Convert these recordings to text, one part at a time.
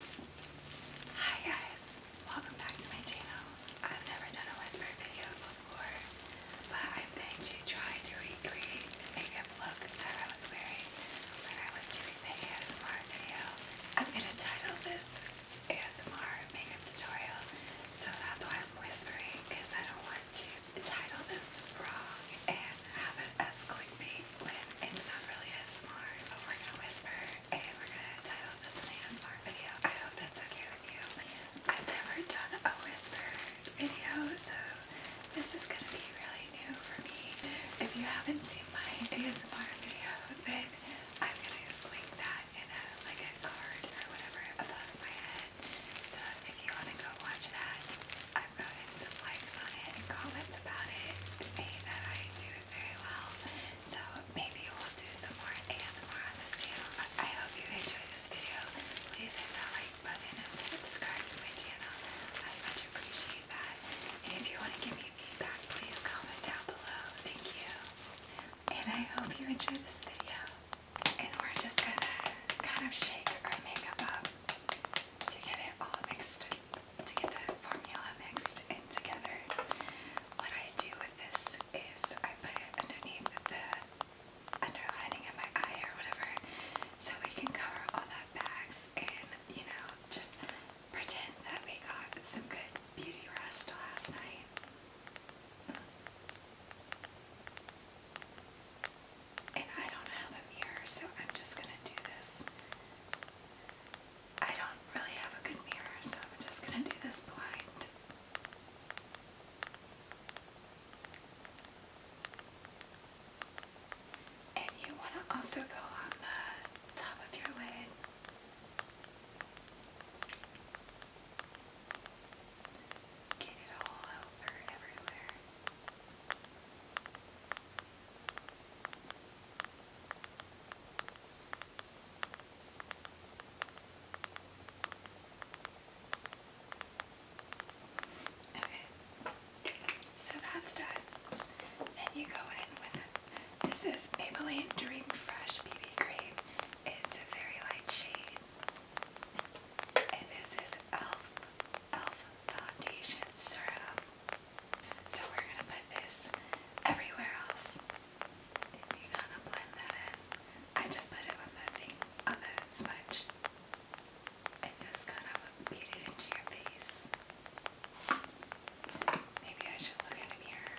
Hi guys, welcome back to my channel. I've never done a whisper video before, but I'm going to try to recreate the makeup look that I was wearing when I was doing the ASMR video. I'm going to title this ASMR makeup tutorial, so that's why I'm whispering, because I don't want to title this wrong and have it as clickbait when it's not really ASMR, but we're going to whisper and we're gonna title this ASMR video. I hope that's okay with you. I've never done a whisper video, so this is gonna be really new for me. If you haven't seen my ASMR video, then I'm gonna link that in a like a card or whatever above my head. So if you wanna go watch that, I've gotten some likes on it and comments about it, saying that I do very well. So maybe we'll do some more ASMR on this channel. But I hope you enjoyed this video. Please hit that like button and subscribe to my channel. I much appreciate that. And if you want to give me feedback, please comment down below. Thank you. And I hope you enjoyed this video. And we're just gonna kind of shake our makeup up to get it all mixed to get the formula mixed in together. What I do with this is I put it underneath the underlining of my eye or whatever so we can cover all that bags and, you know, just pretend that we got some good beauty rest last night. And I don't have a mirror, so I'm just gonna do this. I don't really have a good mirror, so I'm just going to do this blind. And you want to also go on the top of your lid. Get it all over everywhere so that's done. Then you go in with this is Maybelline Dream Fresh BB cream. It's a very light shade, and this is Elf Elf Foundation Serum. So we're gonna put this everywhere else. You're gonna blend that in. I just put it on the thing, on the smudge. And just kind of beat it into your face. Maybe I should look at a mirror.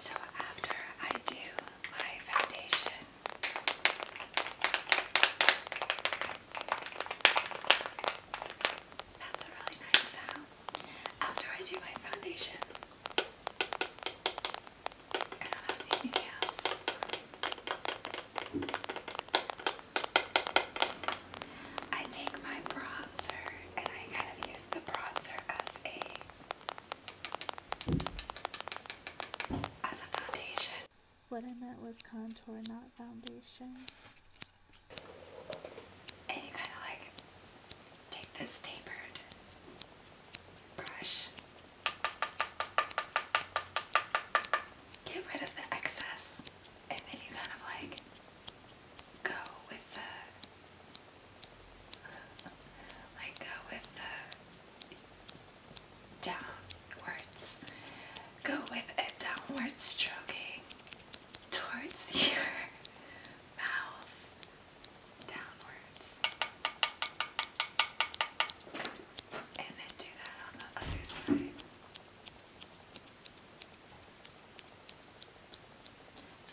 So after I do my foundation, that's a really nice sound. After I do my foundation, I take my bronzer and I kind of use the bronzer as a as a foundation. What I meant was contour, not foundation. And you kind of like take this tapered brush get rid of the excess and then you kind of like go with the like go with the downwards go with a downward stroking towards your mouth downwards and then do that on the other side.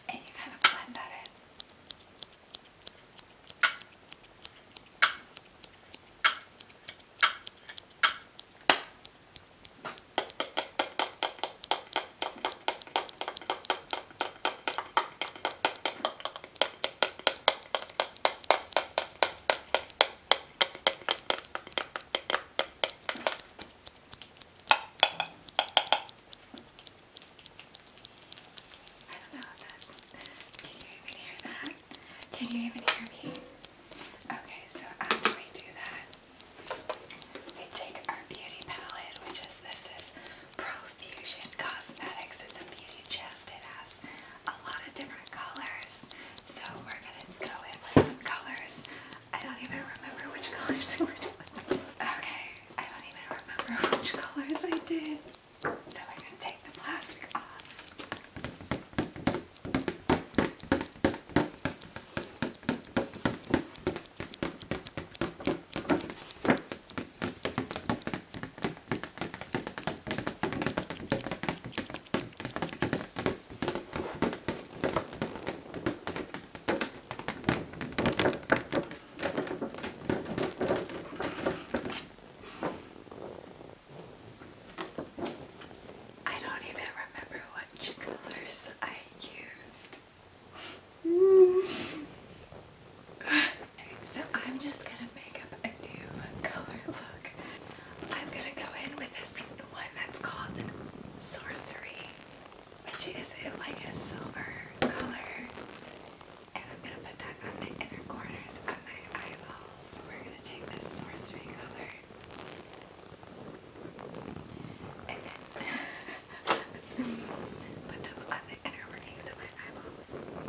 And you kind of blend that in. I don't know if that, can you even hear that? Can you even hear me? Okay, so after we do that, we take our beauty palette, which is, this is Profusion Cosmetics. It's a beauty chest. It has a lot of different colors. So we're gonna go in with some colors. I don't even remember which colors we were doing. Okay, I don't even remember which colors I did. So we're gonna take the plastic off. I don't even remember what colors I used. Okay, so I'm just gonna make up a new color look. I'm gonna go in with this one that's called Sorcery, which is like a silver color. And I'm gonna put that on the inner corners of my eyeballs. We're gonna take this sorcery color. And then put them on the inner workings of my eyeballs.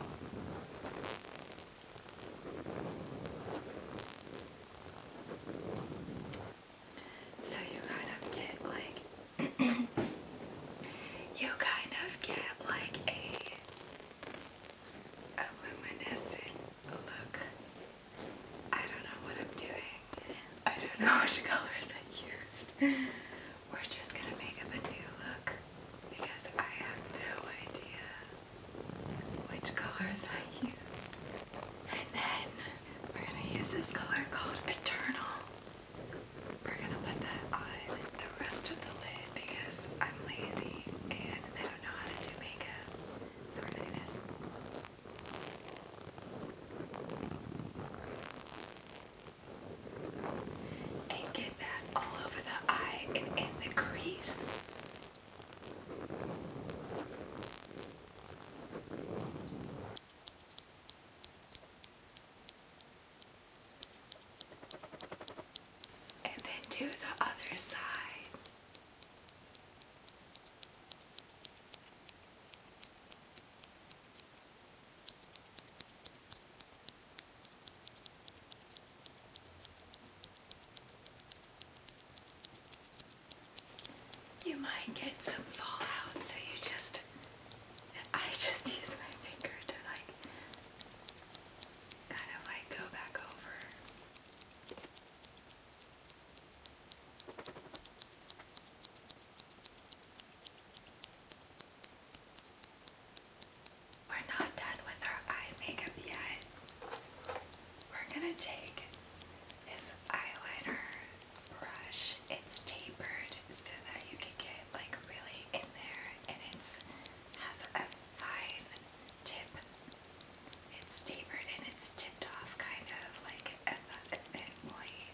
So you kind of get like you kind of get like a, luminescent look. I don't know what I'm doing. I don't know which colors I used. We're just gonna make up a new look because I have no idea which colors I used. And then we're gonna use this color called Eternal. We're gonna put that on the rest of the lid because I'm lazy and I don't know how to do makeup. So we and get that all over the eye and in the crease. And then do the other side. You might get some fallout, so you just. I just use my finger to like. kind of like go back over. We're not done with our eye makeup yet. We're gonna take this eyeliner brush. It's tapered so that you can get like really in there and it has a fine tip. It's tapered and it's tipped off kind of like at point.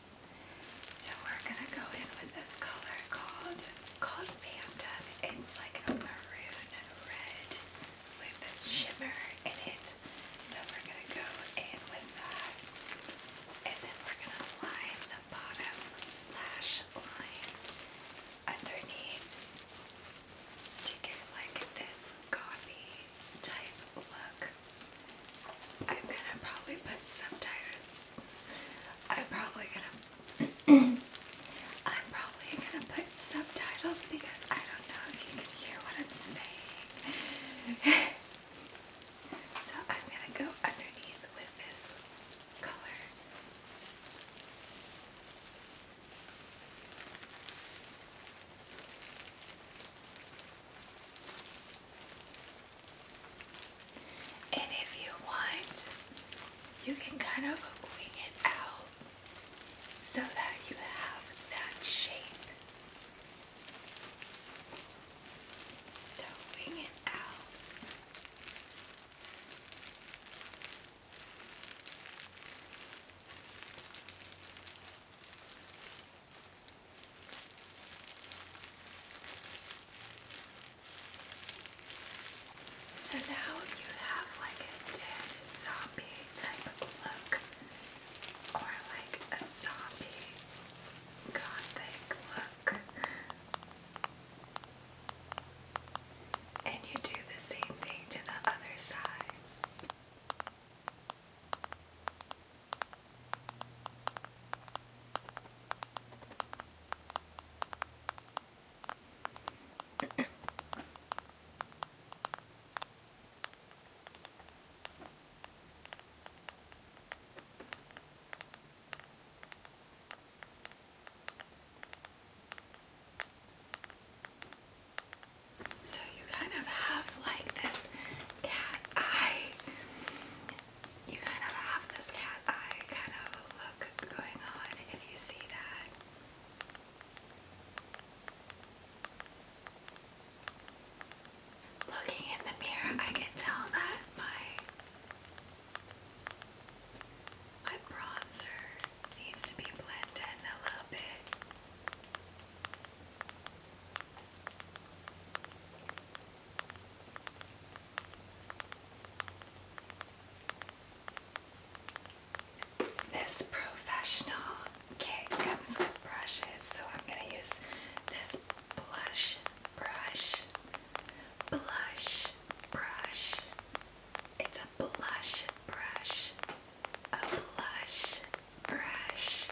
So we're gonna go in with this color called, called it's like a maroon red with a shimmer in it. So we're gonna go in with that. And then we're gonna line the bottom lash line underneath to get like this coffee type look. I'm gonna probably put some tighter. I'm probably gonna I'm probably gonna put subtitles because I don't know if you can hear what I'm saying. so I'm gonna go underneath with this color. And if you want, you can kind of wing it out so that you have that shape. So wing it out. So now you have like a dead zombie type of look, or like a zombie gothic look. And you do the same thing to the other side. So you kind of have like this cat eye you kind of have this cat eye kind of look going on if you see that. Looking in the mirror, I can tell that my my bronzer needs to be blended a little bit. This professional kit comes with brushes, so I'm going to use this blush brush. Blush brush. It's a blush brush. A blush brush.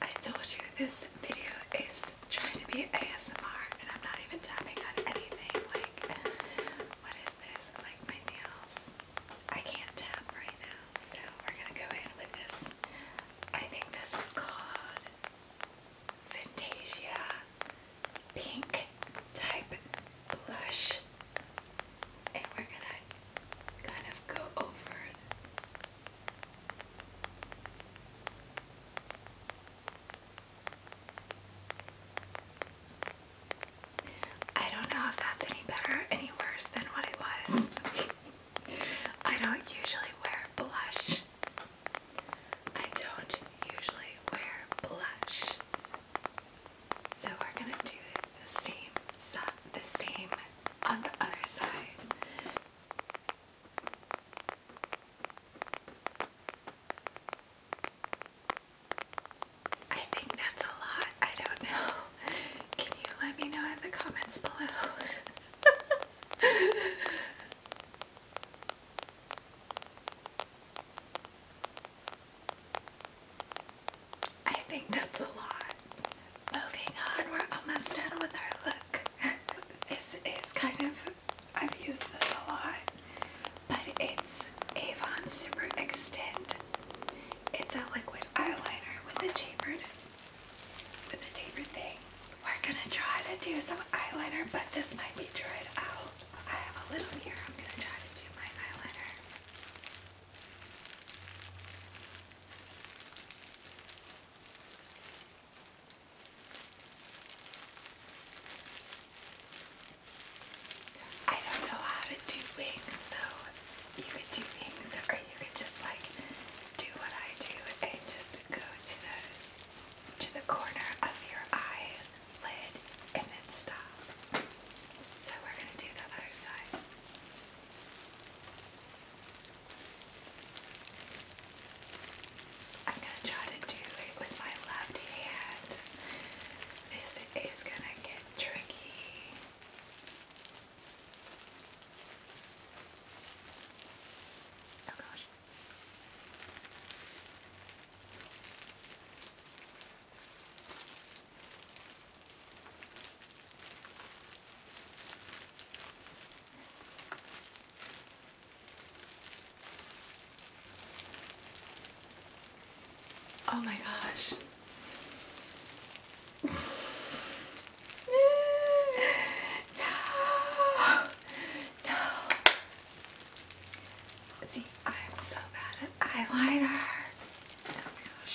I told you this video is trying to be ASMR and I'm not even tapping on anything. Like, what is this? Like my nails. I can't tap right now. So we're gonna go in with this. I think this is called Fantasia Pink Type Blush. And we're gonna kind of go over I don't know if that's any better any worse than what it was. I don't usually wear blush. I don't usually wear blush. So we're gonna do the same the same on the other side. I think that's a lot. I don't know. Can you let me know in the comments below? I think that's a lot. Moving on, we're almost done with our look. this is kind of I've used this a lot, but it's Avon Super Extend. It's a liquid eyeliner with a tapered, with a tapered thing. We're gonna try to do some eyeliner, but this might be dried out. I have a little here. I'm gonna try to do my eyeliner. I don't know how to do wings, so you could do wings or you could just like do what I do and just go to the to the corner of your eye lid and then stop. So we're gonna do the other side. I'm gonna try to do it with my left hand. This is gonna get tricky. Oh gosh. Oh my gosh. no. No. See, I'm so bad at eyeliner. Oh my gosh.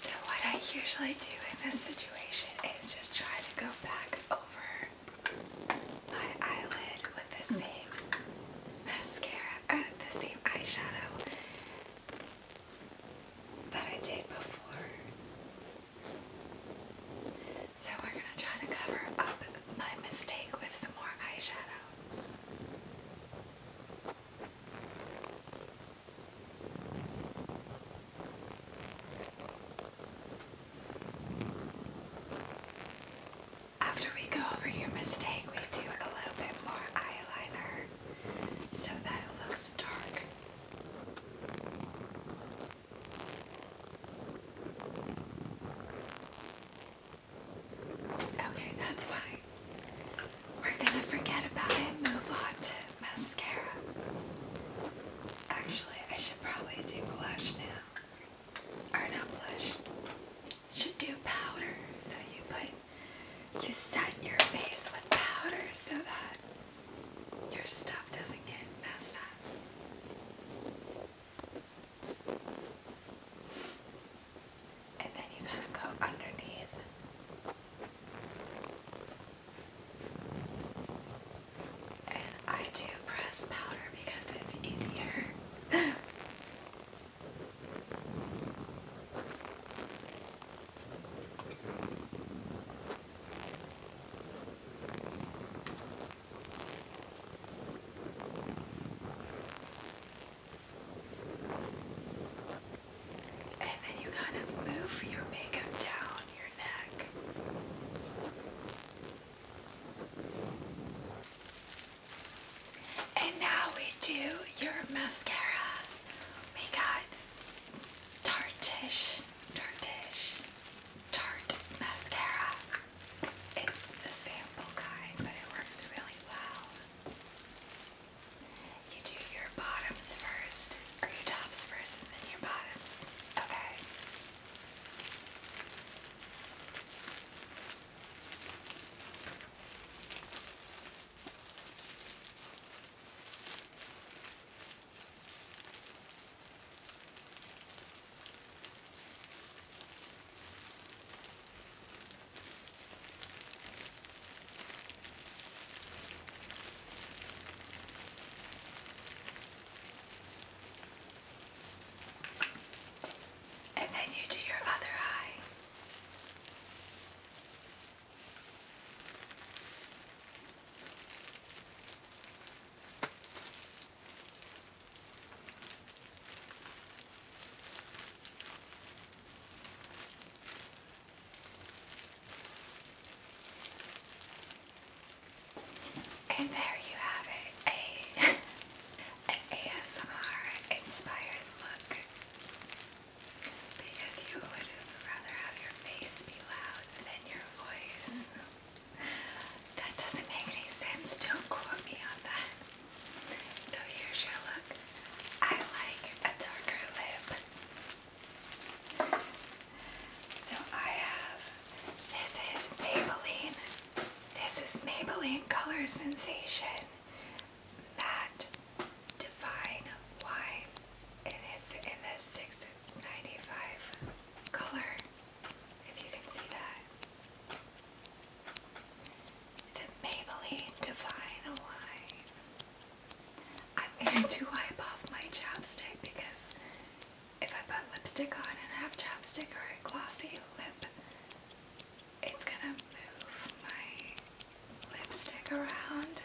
So what I usually do in this situation is just try to go back over my eyelid with the hmm. same mascara, or uh, the same eyeshadow that I did before. So we're gonna try to cover up my mistake with some more eyeshadow. After we go over your mistake, we do a little bit more eyeliner so that it looks dark. Okay, that's fine. We're gonna forget about it move on to mascara. Actually, I should probably do blush now. Or not blush. Should do powder. So you put you set your face with powder so that your stuff doesn't get messed up and then you kind of go underneath. And I do press powder because it's easier. And then you kind of move your makeup down your neck. And now we do your mascara. We got Tartish, Tartish, Tarte mascara. It's the sample kind, but it works really well. You do your bottoms first, or your tops first, and then your bottoms. Okay. And then you do your other eye. And there you have it, a, an ASMR inspired look. Because you would rather have your face be loud than your voice. Mm-hmm. That doesn't make any sense, don't quote me on that. So here's your look. I like a darker lip. So I have, this is Maybelline. This is Maybelline Color Sensation. That Divine Wine. It is in the 695 color, if you can see that. It's The Maybelline Divine Wine. I'm going to wipe off my chapstick because if I put lipstick on and I have chapstick or a glossy lip, it's gonna move my lipstick around.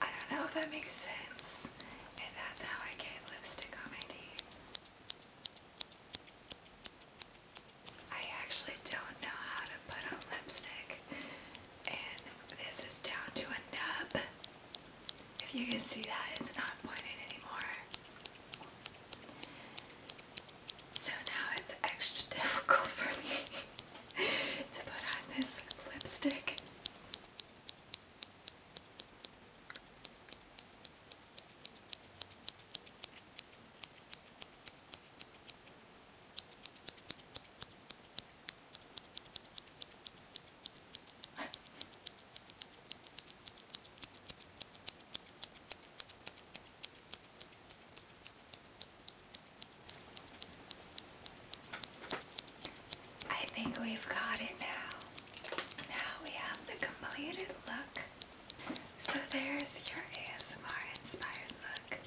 I don't know if that makes sense. And that's how I get lipstick on my teeth. I actually don't know how to put on lipstick, and this is down to a nub. If you can see that, it's not pointed anymore. So now it's extra difficult for me to put on this lipstick. I think we've got it now. Now we have the completed look so there's your ASMR inspired look.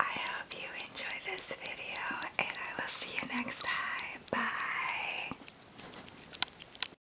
I hope you enjoy this video and I will see you next time. Bye.